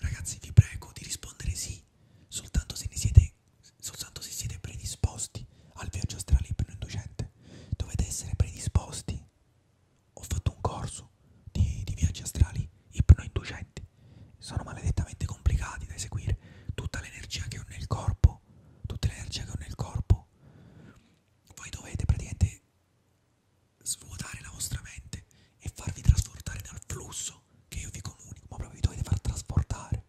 Ragazzi, vi prego di rispondere sì, soltanto se ne siete, soltanto se siete predisposti al viaggio astrale ipnoinducente. Dovete essere predisposti. Ho fatto un corso di, di viaggi astrali ipnoinducenti. Sono maledettamente complicati da eseguire. Tutta l'energia che ho nel corpo, tutta l'energia che ho nel corpo, voi dovete praticamente svuotare la vostra mente e farvi trasportare dal flusso che io vi comunico, ma proprio vi dovete far trasportare,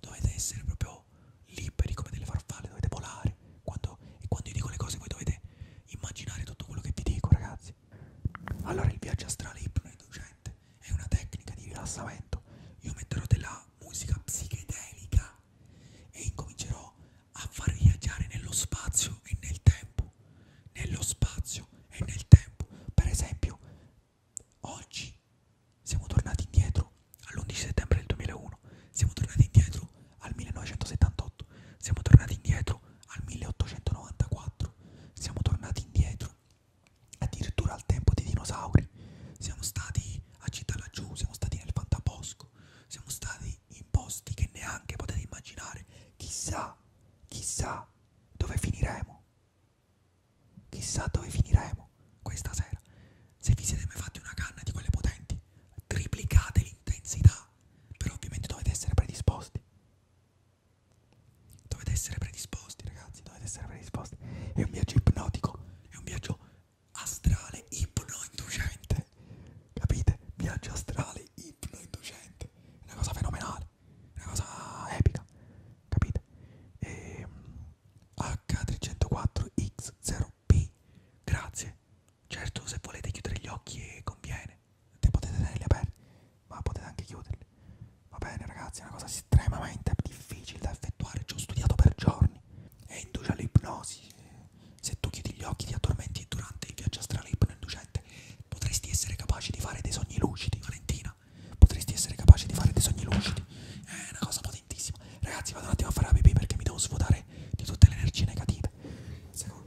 dovete essere proprio liberi come delle farfalle, dovete volare, quando, e quando io dico le cose voi dovete immaginare tutto quello che vi dico ragazzi. Allora il viaggio astrale ipnoinducente è una tecnica di rilassamento, io metterò della musica psichedelica e incomincerò a far viaggiare nello spazio e nel tempo viviamo nello spazio e nel tempo. Per esempio, oggi siamo tornati indietro all'11 settembre del 2001, siamo tornati indietro al 1978, siamo tornati indietro al 1894, siamo tornati indietro addirittura al tempo dei dinosauri, siamo stati a Città laggiù, siamo stati nel Fantabosco, siamo stati in posti che neanche potete immaginare, chissà, chissà dove finiremo. Chissà dove finiremo questa sera. Se vi siete mai fatti una canna di quelle potenti, triplicate l'intensità. Però ovviamente dovete essere predisposti. Dovete essere predisposti, ragazzi, dovete essere predisposti. È un viaggio ipnotico, è un viaggio astrale ipnoinducente. Capite? Viaggio astrale ipnoinducente. È una cosa fenomenale una cosa epica, capite? Ehm, e, H304X0P, grazie. Certo, se volete chiudere gli occhi eh, conviene, Te potete tenerli aperti, ma potete anche chiuderli. Va bene ragazzi, è una cosa estremamente difficile da effettuare, ci ho studiato per giorni. È induce all'ipnosi, se tu chiudi gli occhi ti addormenti durante il viaggio astrale ipnoinducente Potresti essere capace di fare dei sogni lucidi, Valentina. Potresti essere capace di fare dei sogni lucidi. È una cosa potentissima. Ragazzi, vado un attimo a fare la pipì perché mi devo svuotare di tutte le energie negative. Secondo.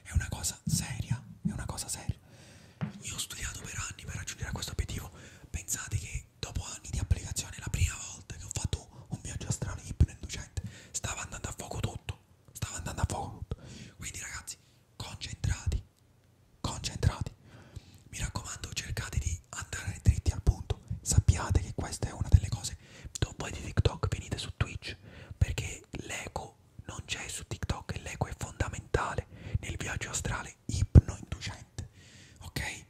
È una cosa seria, è una cosa seria. Io ho studiato per anni per raggiungere questo obiettivo. Pensate che dopo anni di applicazione, la prima volta che ho fatto un viaggio astrale inducente stava andando a fuoco tutto. Stava andando a fuoco tutto. Quindi, ragazzi, concentrati, concentrati. Mi raccomando, cercate di andare dritti al punto. Sappiate che questa è una delle cose. Dopo di TikTok venite su Twitch perché l'ego non c'è su TikTok e l'eco è fondamentale nel viaggio astrale ipnoinducente. Ok?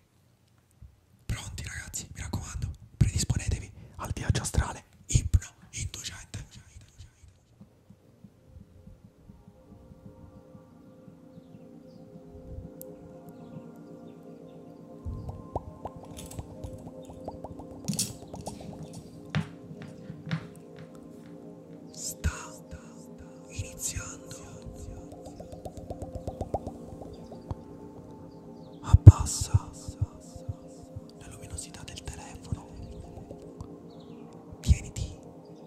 Pronti ragazzi, mi raccomando, predisponetevi al viaggio astrale ipnoinducente sta iniziando. Abbassa la luminosità del telefono. Tieniti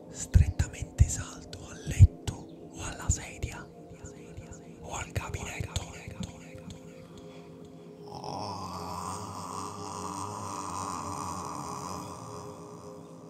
strettamente saldo al letto o alla sedia o al gabinetto.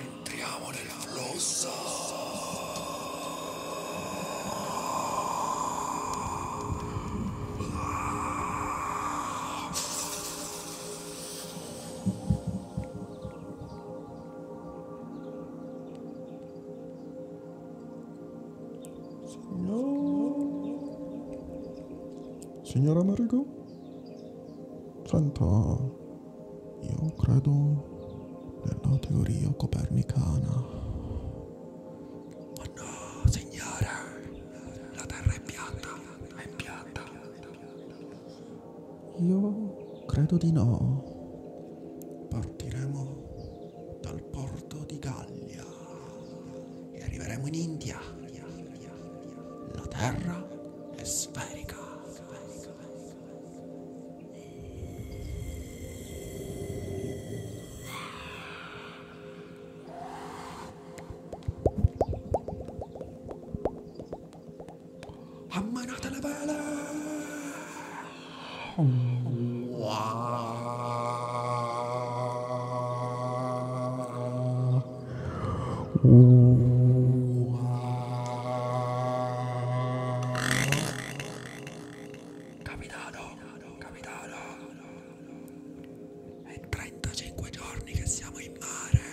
Entriamo nel flusso. Signor... Signora Marigo? Senta, io credo nella teoria copernicana. Ma oh no, signora, la Terra è piatta, è piatta. Io credo di no. Partiremo dal porto di Gallia e arriveremo in India. La terra è sferica. Ammanate le vele! Capitano, capitano, è 35 giorni che siamo in mare.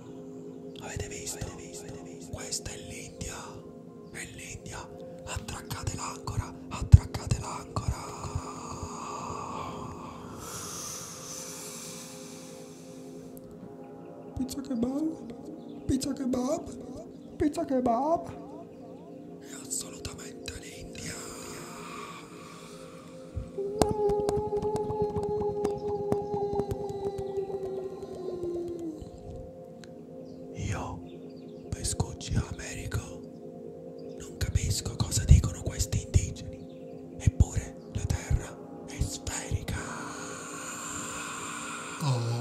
Avete visto? Avete visto? Questa è l'India. È l'India. Attraccate l'ancora. Attraccate l'ancora. Pizza kebab. Pizza kebab. Pizza kebab. È assolutamente l'India. Io, pescucci Americo, non capisco cosa dicono questi indigeni, eppure la terra è sferica. Oh.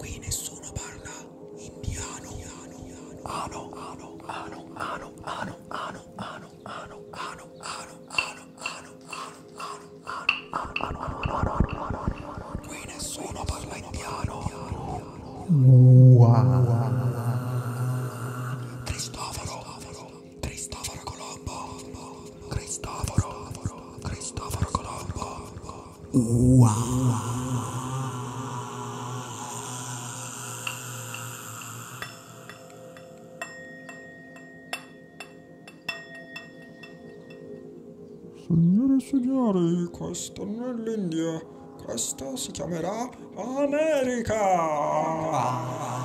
Qui nessuno parla indiano. Ano, ano, ano, ano, ano, ano, ano, ano, ano, ano, ano, ano, ano, ano, ano, ano, Qui nessuno parla indiano. Cristoforo, Cristoforo Colombo. Cristoforo, Cristoforo Colombo. Wow. Signore e signori, questo non è l'India, questo si chiamerà America!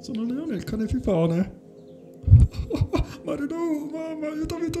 Sono Leone il cane fifone. Marino, mamma, aiutami tu!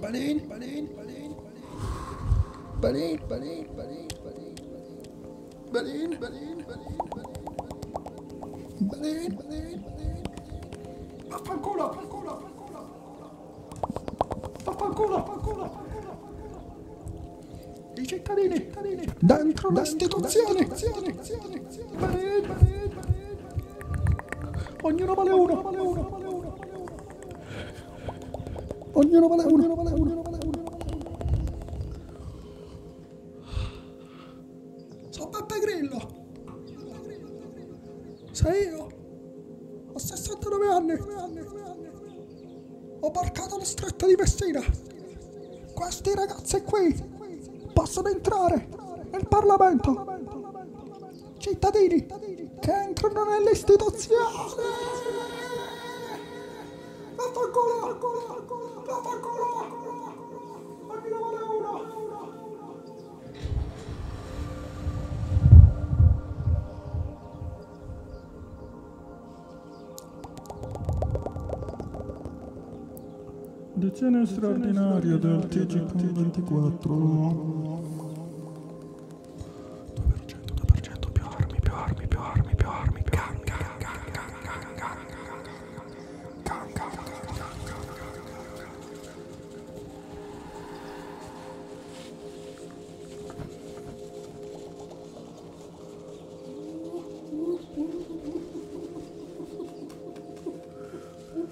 Balloon, balloon, balloon, balloon. Balloon, balloon, balloon, balloon, balloon. Balloon, balloon, balloon, balloon. Balloon, balloon, balloon. Vaffanculo, vaffanculo, vaffanculo. Vaffanculo, vaffanculo, vaffanculo. I cittadini, cittadini. Dentro la istituzione. Balloon, balloon, balloon. Ognuno vale uno. Ognuno vale uno. Ognuno vale uno. Sono Beppe Grillo. Sei io. Ho 69 anni. Ho barcato la stretta di Messina. Questi ragazzi qui possono entrare nel Parlamento cittadini che entrano nelle istituzioni. Decennio straordinario del TG.24 2%, 2%, più armi, più armi, più armi, più armi Gang, gang, gang, gang, gang, gang Gang, gang, gang, gang, gang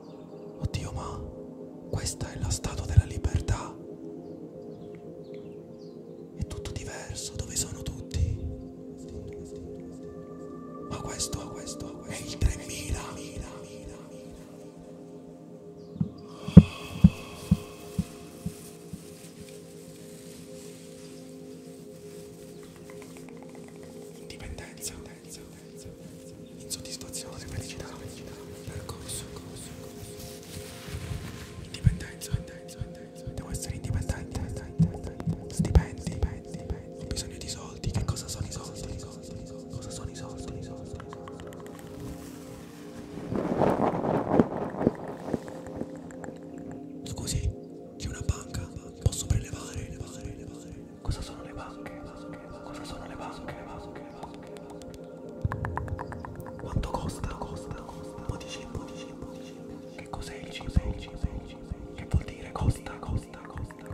Oddio, ma questa è la statua della libertà. È tutto diverso, dove sono tutti? Ma questo, questo, questo è il 3000. Indipendenza insoddisfazione, felicità, percorso, indipendenza, devo essere indipendente, stipendi, ho bisogno di soldi, che cosa sono i soldi, cosa sono i soldi, i soldi. Scusi, c'è una banca, posso prelevare, levare, levare. Cosa sono le banche? Cosa sono le banche? Quanto costa? Costa? Podici, podici, podici. Che cos'è il cibo? Che vuol dire costa? Costa? Costa?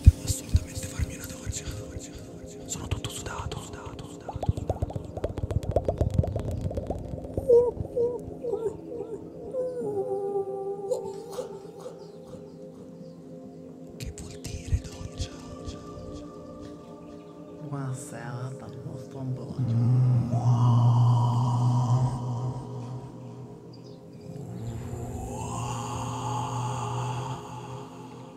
Devo assolutamente farmi una doccia, doccia. Sono tutto sudato, sudato, sudato. Che vuol dire doccia? Buonasera dal vostro ambrogio.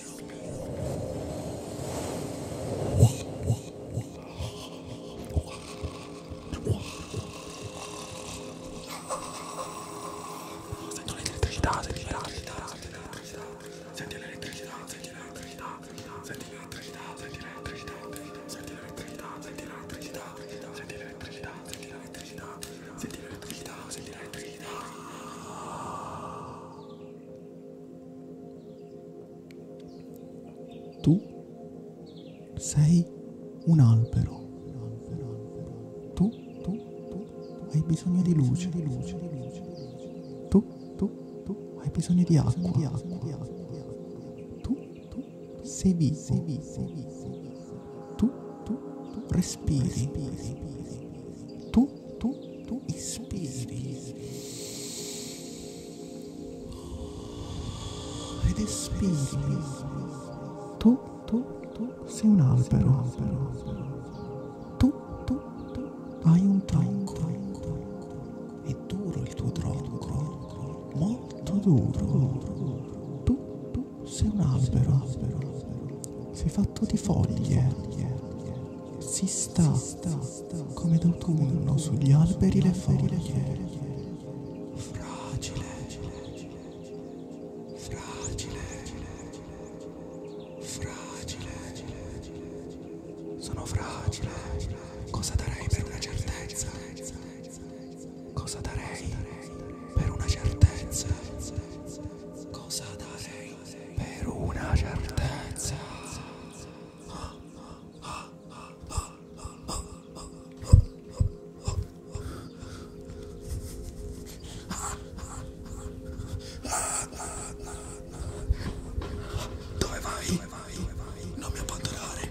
Senti l'elettricità, senti l'elettricità, senti l'elettricità, senti l'elettricità, senti l'elettricità, senti l'elettricità, senti l'elettricità, senti l'elettricità, senti l'elettricità, senti l'elettricità, senti l'elettricità, senti l'elettricità, senti l'elettricità. Tu sei un albero. Tu, tu, tu, hai bisogno di luce, di luce, di luce. Tu, tu, tu, hai bisogno di acqua, di acqua, di acqua. Tu, tu, sei vivo, sei vivo, sei vivo. Tu, tu, tu, respiri. Tu, tu, tu ispiri ed espiri. Tu, tu, tu sei un albero. Tu, tu, tu hai un tronco. È duro il tuo tronco, molto duro. Tu, tu sei un albero sei fatto di foglie. Si sta come d'autunno sugli alberi le foglie. Fragile, fragile, fragile. Sono fragile. Cosa darei per una certezza? Cosa darei per una certezza? Cosa darei? per una certezza. Dove vai? Dove vai? Dove vai? Non mi abbandonare.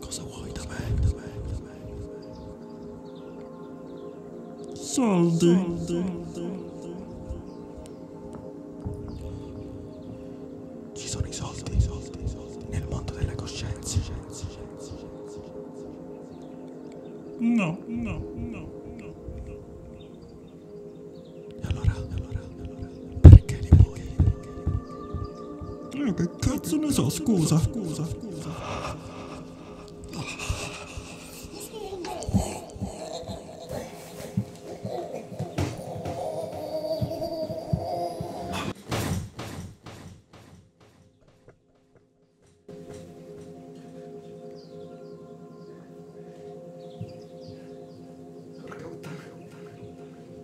Cosa vuoi da me? Da me, da me. Soldi. Soldi. Ci sono i soldi, i soldi, i soldi. Nel mondo delle coscienze. No, no, no, no, no. E allora, allora, allora, perché li vuoi? Io eh, che cazzo ne so, scusa, scusa, scusa.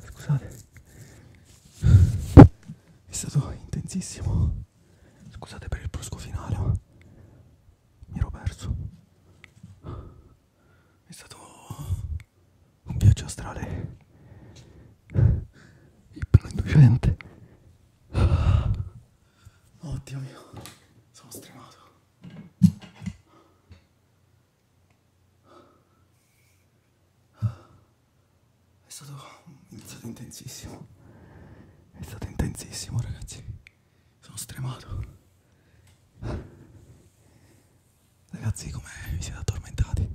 Scusate, è stato intensissimo. Scusate per il brusco finale, ma mi ero perso. È stato un viaggio astrale ipnoinducente. Oddio mio, sono stremato. È stato, è stato intensissimo. È stato intensissimo, ragazzi. Sono stremato. Ragazzi, come vi siete addormentati?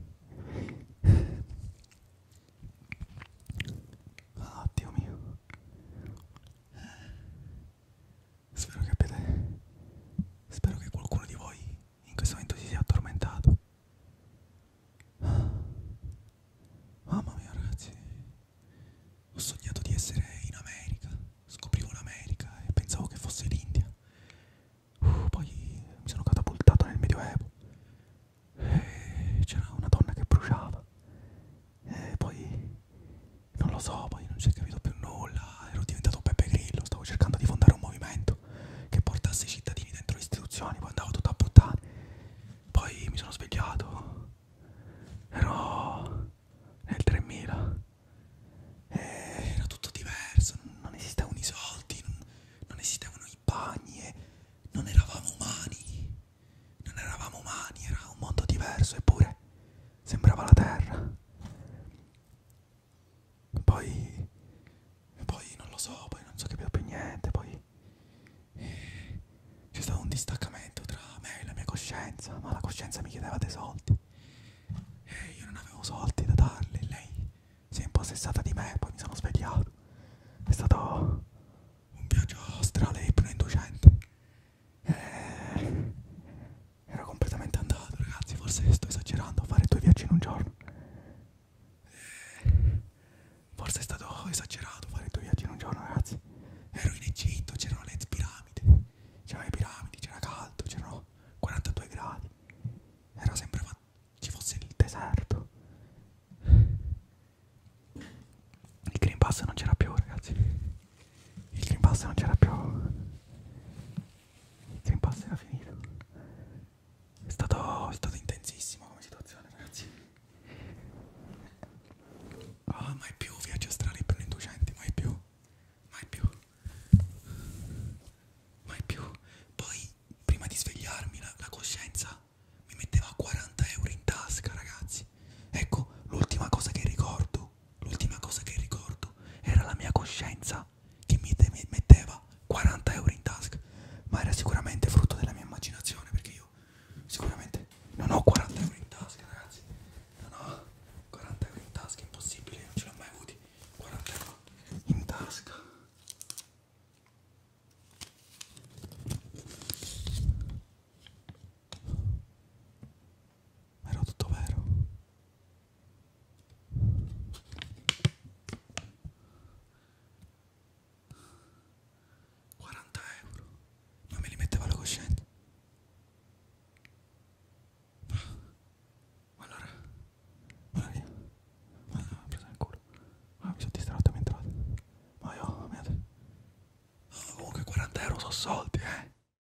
Ah, Dio mio. Spero che abbiate. Spero che qualcuno di voi in questo momento si sia addormentato. Ah. Mamma mia, ragazzi, ho sognato di essere in America. Scoprivo l'America e pensavo che fosse l'India. Uh, poi mi sono catapultato nel Medioevo. E c'era una donna che bruciava eh, poi non lo so, poi non ci ho capito più nulla, ero diventato Peppe Grillo, stavo cercando di fondare un movimento che portasse i cittadini dentro le istituzioni, poi andavo tutto a buttare, poi mi sono svegliato, ero nel 3000, eh, era tutto diverso, non, non esistevano i soldi, non, non esistevano i bagni, eh, non eravamo umani, non eravamo umani, era un mondo diverso, eppure sembrava la terra. Poi, poi non lo so, poi non so capire più niente, poi eh, c'è stato un distaccamento tra me e la mia coscienza, ma la coscienza mi chiedeva dei soldi e eh, io non avevo soldi da darle, lei si è impossessata di me, poi mi sono svegliato. È stato un viaggio astrale e inducente. Eh, era completamente andato, ragazzi. Forse sto esagerando a fare due viaggi in un giorno. Eh, forse è stato esagerato fare due viaggi in un giorno, ragazzi. Ero in Egitto, c'erano le piramidi. C'erano le piramidi, c'era caldo, c'erano 42 gradi. Era sempre fatto ci fosse il deserto. Il Green Pass non c'era più, ragazzi il Green Pass non c'era più il Green Pass era finito è stato, è stato intensissimo come situazione ragazzi oh, mai più viaggi astrali per gli inducenti mai più mai più mai più poi prima di svegliarmi la, la coscienza mi metteva 40 euro in tasca ragazzi ecco l'ultima cosa che ricordo ricordo, l'ultima cosa che ricordo era la mia coscienza che mi metteva 40 euro in tasca, ma era sicuramente frutto della mia immaginazione perché io sicuramente non ho 40 euro in tasca, ragazzi. Non ho 40 euro in tasca, impossibile, non ce l'ho mai avuti. 40 euro in tasca. Ma era tutto vero. Quaranta euro. Ma me li metteva la coscienza. Ma allora, ma allora, ma allora, mi presa in culo. Ma mi sono distratto mentre entrato. Ma io, mia... Oh, comunque 40 euro sono soldi, eh.